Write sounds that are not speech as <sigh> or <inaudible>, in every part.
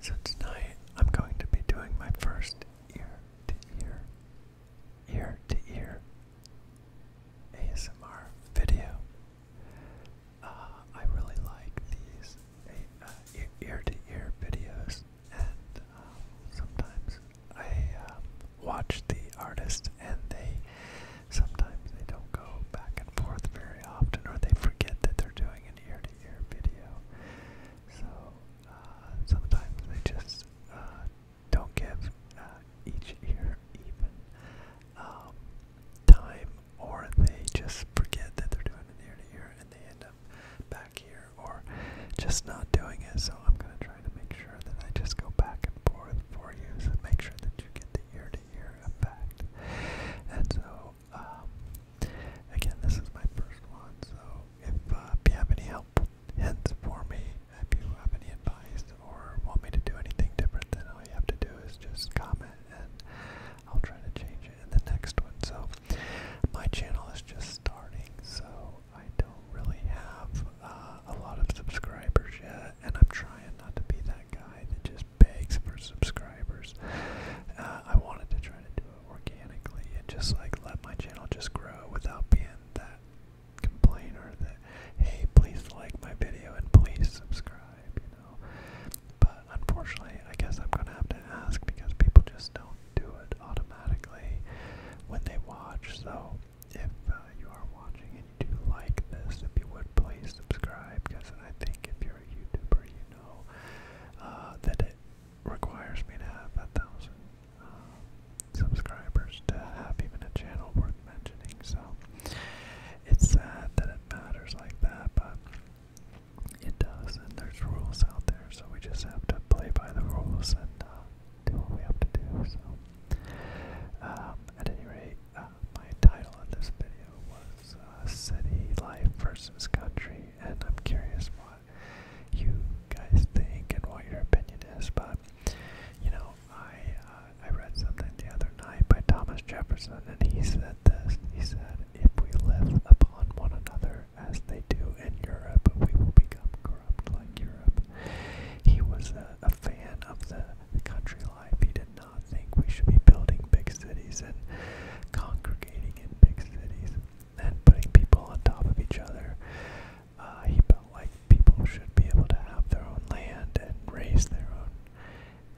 So tonight I'm going to be doing my first ear to ear, ear to ear ASMR video. Uh, I really like these uh, ear to ear videos, and uh, sometimes I watch the artist and they sometimes they don't go back and forth very often or they forget that they're doing an ear to ear video. So uh, sometimes they just uh, don't give uh, each ear even um, time or they just forget that they're doing an ear to ear and they end up back here or just not doing it. So I'm going to try to make sure pressure, then I just go back and forth for you, so make sure that you get the ear-to-ear effect. And so, um, again, this is my first one, so uh, if you have any help, hints for me, if you have any advice or want me to do anything different, then all you have to do is just comment and I'll try to change it in the next one. So my channel is just starting, so I don't really have uh, a lot of subscribers yet, and I'm trying not to be that guy that just begs for subscribers. Uh, I wanted to try to do it organically and just like let my channel just grow without being that complainer that, hey, please like my video and please subscribe, you know. But unfortunately, I guess I'm gonna have to ask because people just don't do it automatically when they watch, so if uh, you are watching and you do like this, if you would please subscribe, because I think if you're a YouTuber, you know uh, that it requires me to have a thousand uh, subscribers to have even a channel worth mentioning. So it's sad that it matters like that, but it does, and there's rules out there, so we just have to play by the rules and. Uh, do what we have to do. So, um, at any rate, uh, my title on this video was uh, City Life versus Country, and I'm curious what you guys think and what your opinion is. But you know, I uh, I read something the other night by Thomas Jefferson, and he said this. He said, "If we live upon one another as they do in Europe, we will become corrupt like Europe." Europe. He was a, a fan of the, the country life. He did not think we should be building big cities and congregating in big cities and putting people on top of each other. Uh, he felt like people should be able to have their own land and raise their own,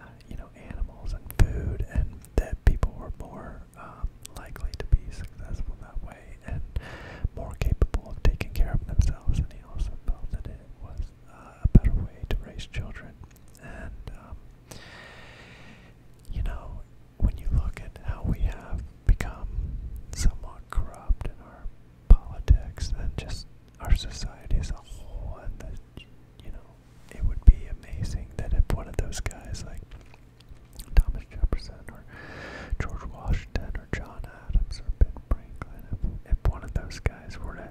uh, you know, animals and food, and that people were more. Um, um, likely to be successful that way and more capable of taking care of themselves. And he also felt that it was uh, a better way to raise children. And um, you know, when you look at how we have become somewhat corrupt in our politics and just our society as a whole, and that you know, it would be amazing that if one of those guys like Thomas Jefferson or George Washington or John Adams or Ben Franklin, if, if one of those guys were to,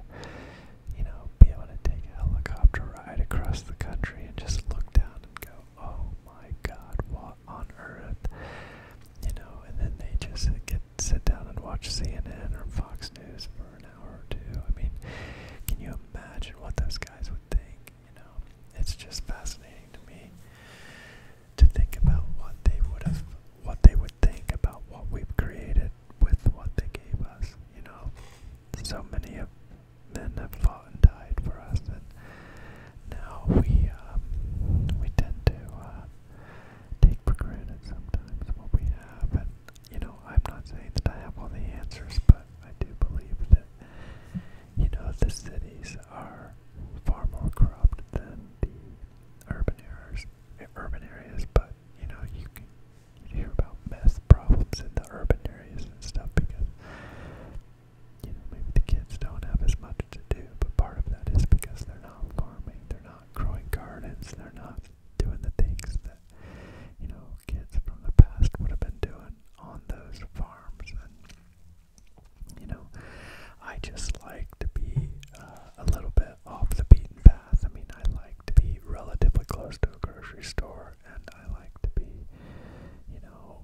you know, be able to take a helicopter ride across the country and just look down and go, oh my God, what on earth? You know, and then they just get sit down and watch CNN or Fox News for an hour or two. I mean, can you imagine what those guys would think? You know, it's just fascinating to me to think about what they would have, what they would think about what we've created with what they gave us. You know, so many of men have fought and died for us, and now we um, we tend to uh, take for granted sometimes what we have. And you know, I'm not saying that I have all the answers, but I do believe that you know, the cities are far more corrupt than the urban areas. Urban areas, but you know, you can you hear about meth problems in the urban areas and stuff because you know maybe the kids don't have as much to do. But part of that is because they're not farming, they're not growing gardens, they're not doing the things that you know kids from the past would have been doing on those farms and you know, I just like to be uh, a little bit off the beaten path. I mean, I like to be relatively close to a grocery store, and I like to be, you know,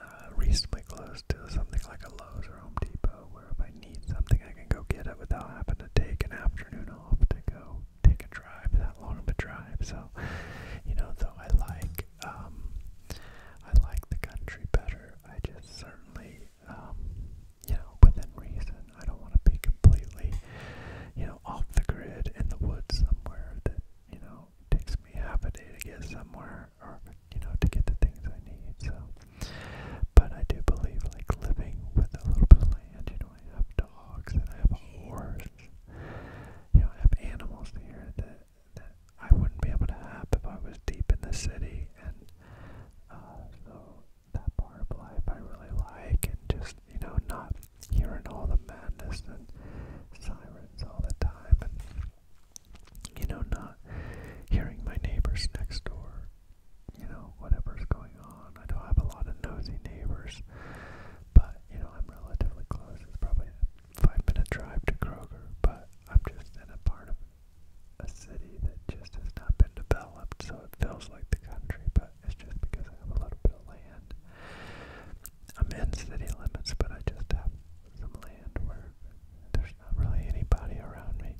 uh, reasonably close to something like a Lowe's or Home Depot, where if I need something, I can go get it without having to take an afternoon off to go take a drive, that long of a drive. So, you know, though I like like um, I like the country better. I just certainly, um, you know, within reason, I don't want to be completely, you know, off the grid in the woods somewhere that you know takes me half a day to get somewhere or you know to get the things I need. So, but I do believe like living with a little bit of land. You know, I have dogs and I have a horse. You know, I have animals here that that I wouldn't be able to have if I was deep in the city. And uh, so that part of life I really like, and just you know not hearing all the madness and sirens all the time, and you know not hearing my neighbors next door. You know, whatever's going on. I don't have a lot of nosy neighbors, but you know, I'm relatively close. It's probably five minute drive to Kroger, but I'm just in a part of a city that just has not been developed, so it feels like the country, but it's just because I have a little bit of land. I'm in city limits, but I just have some land where there's not really anybody around me.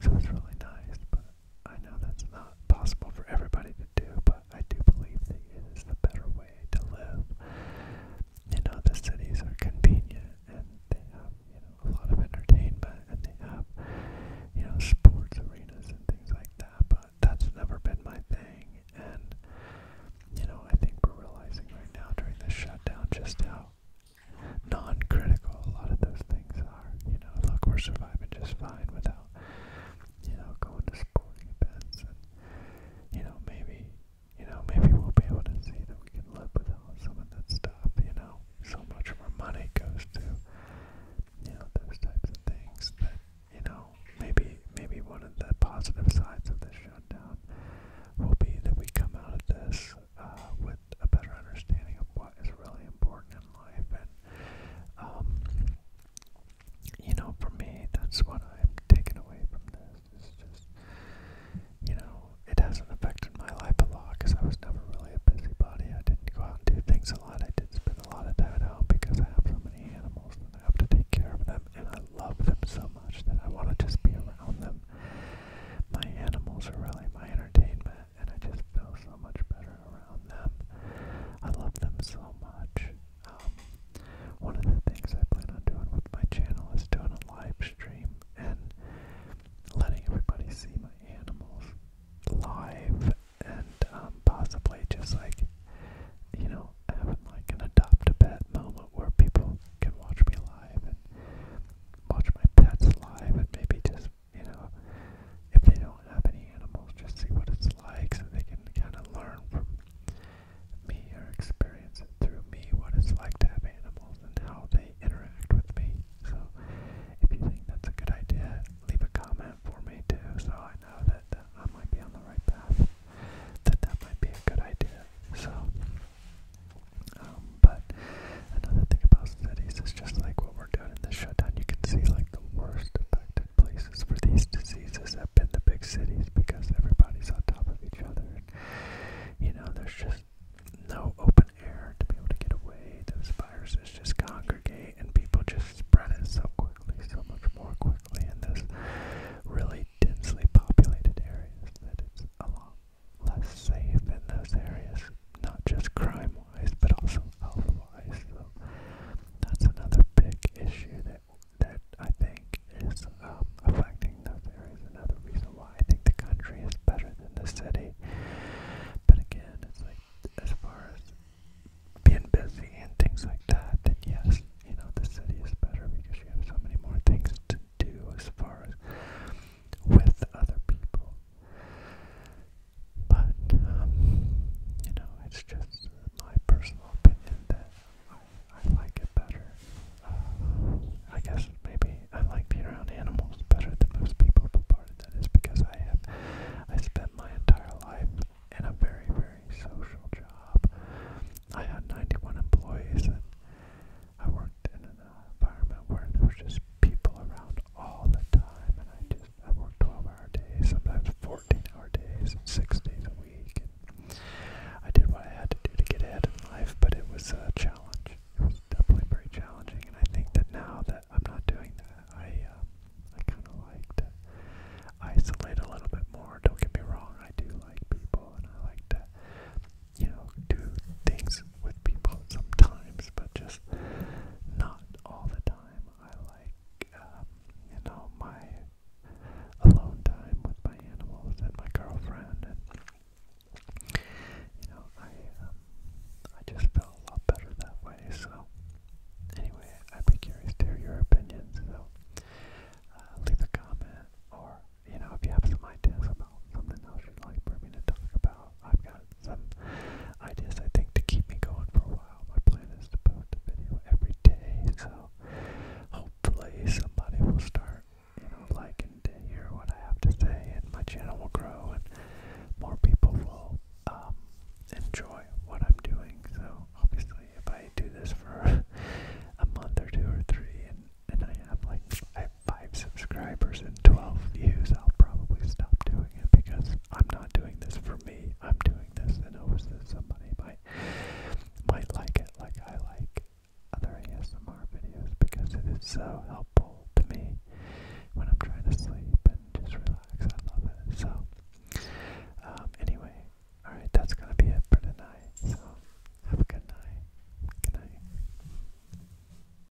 So it's really nice, but I know that's not possible for everybody to do, but but I do believe that it is the better way to live. You know, the cities are convenient and they have, you know, a lot of entertainment and they have, you know, sports arenas and things like that, but that's never been my thing. And, you know, I think we're realizing right now during this shutdown just how non critical a lot of those things are. You know, look, we're surviving just fine without you know, going to sporting events and, you know, maybe, you know, maybe we'll be able to see that we can live without some of that stuff, you know. So much of our money goes to, you know, those types of things that, you know, maybe, maybe one of the positive sides of this shutdown will be that we come out of this uh, with a better understanding of what is really important in life and, um, you know, for me, that's what I'm taking away from this. It's just, you know, it hasn't affected my life a lot because I was never really a busybody. I didn't go out and do things a lot. I did spend a lot of time out because I have so many animals and I have to take care of them. And I love them so much that I want to just be around them. My animals are really my entertainment, and I just feel so much better around them. I love them so much. Um, one of the things I plan on doing with my channel is doing a live stream and letting everybody see my animals live and um, possibly just like, you know, having like an adopt a pet moment where people can watch me live and watch my pets live and maybe just, you know, if they don't have any animals, just see what it's like so they can kind of learn from me or experience it through me what it's like to have animals and how they interact with me. So if you think that's a good idea, leave a comment for me too so I know that uh, I might be on the right path, that that might be a good idea. So, um, but another thing about cities is just like what what we're doing in this shutdown, you can see like the worst affected places for these diseases have been the big cities because everybody's on top of each other. And, you know, there's just no open air to be able to get away. Those viruses just congregate and people just spread it so quickly, so much more quickly in this really densely populated areas that it's a lot less safe in those areas, not just crime wise, but also from health-wise. So that's another big issue that that I think is um, affecting the fairies. Another reason why I think the country is better than the city. But again, it's like as far as being busy and things like that, then yes, you know, the city is better because you have so many more things to do as far as with other people but, um, you know, it's just my personal opinion that I, I like it better. Uh, I guess maybe I like being around animals better than most people, but part of that is because I have, I spent my entire life in a very, very social job. I had 91 employees and I worked in an environment where there was just people around all the time and I just I work 12 hour days, sometimes 14 hour days, six days a week. I did what I had to do to get ahead in life, but it was a challenge. It was definitely very challenging, and I think that now that I'm not doing that, I uh, I kind of liked to isolate a little bit more. Don't get me wrong, I do like people, and I like to you know do things with people sometimes, but just because not all the time I like, um, you know, my alone time with my animals and my girlfriend. And, you know, I, um, I just felt a lot better that way. So, anyway, I'd be curious to hear your opinions. So, uh, leave a comment or, you know, if you have some ideas about something else you'd like for me to talk about, I've got some ideas, I think, to keep me going for a while. My plan is to post a video every day, so hopefully somebody will start, you know, liking to hear what I have to say, and my channel will grow, and more people will um, enjoy what I'm doing. So obviously, if I do this for <laughs> a month or two or three, and and I have like I 5 subscribers and 12 views, I'll probably stop doing it because I'm not doing this for me. I'm doing this in hopes that somebody might, might like it like I like other ASMR videos because it is so helpful to me when I'm trying to sleep and just relax. I love it. So, um, anyway, alright, that's going to be it for tonight. So, have a good night. Good night.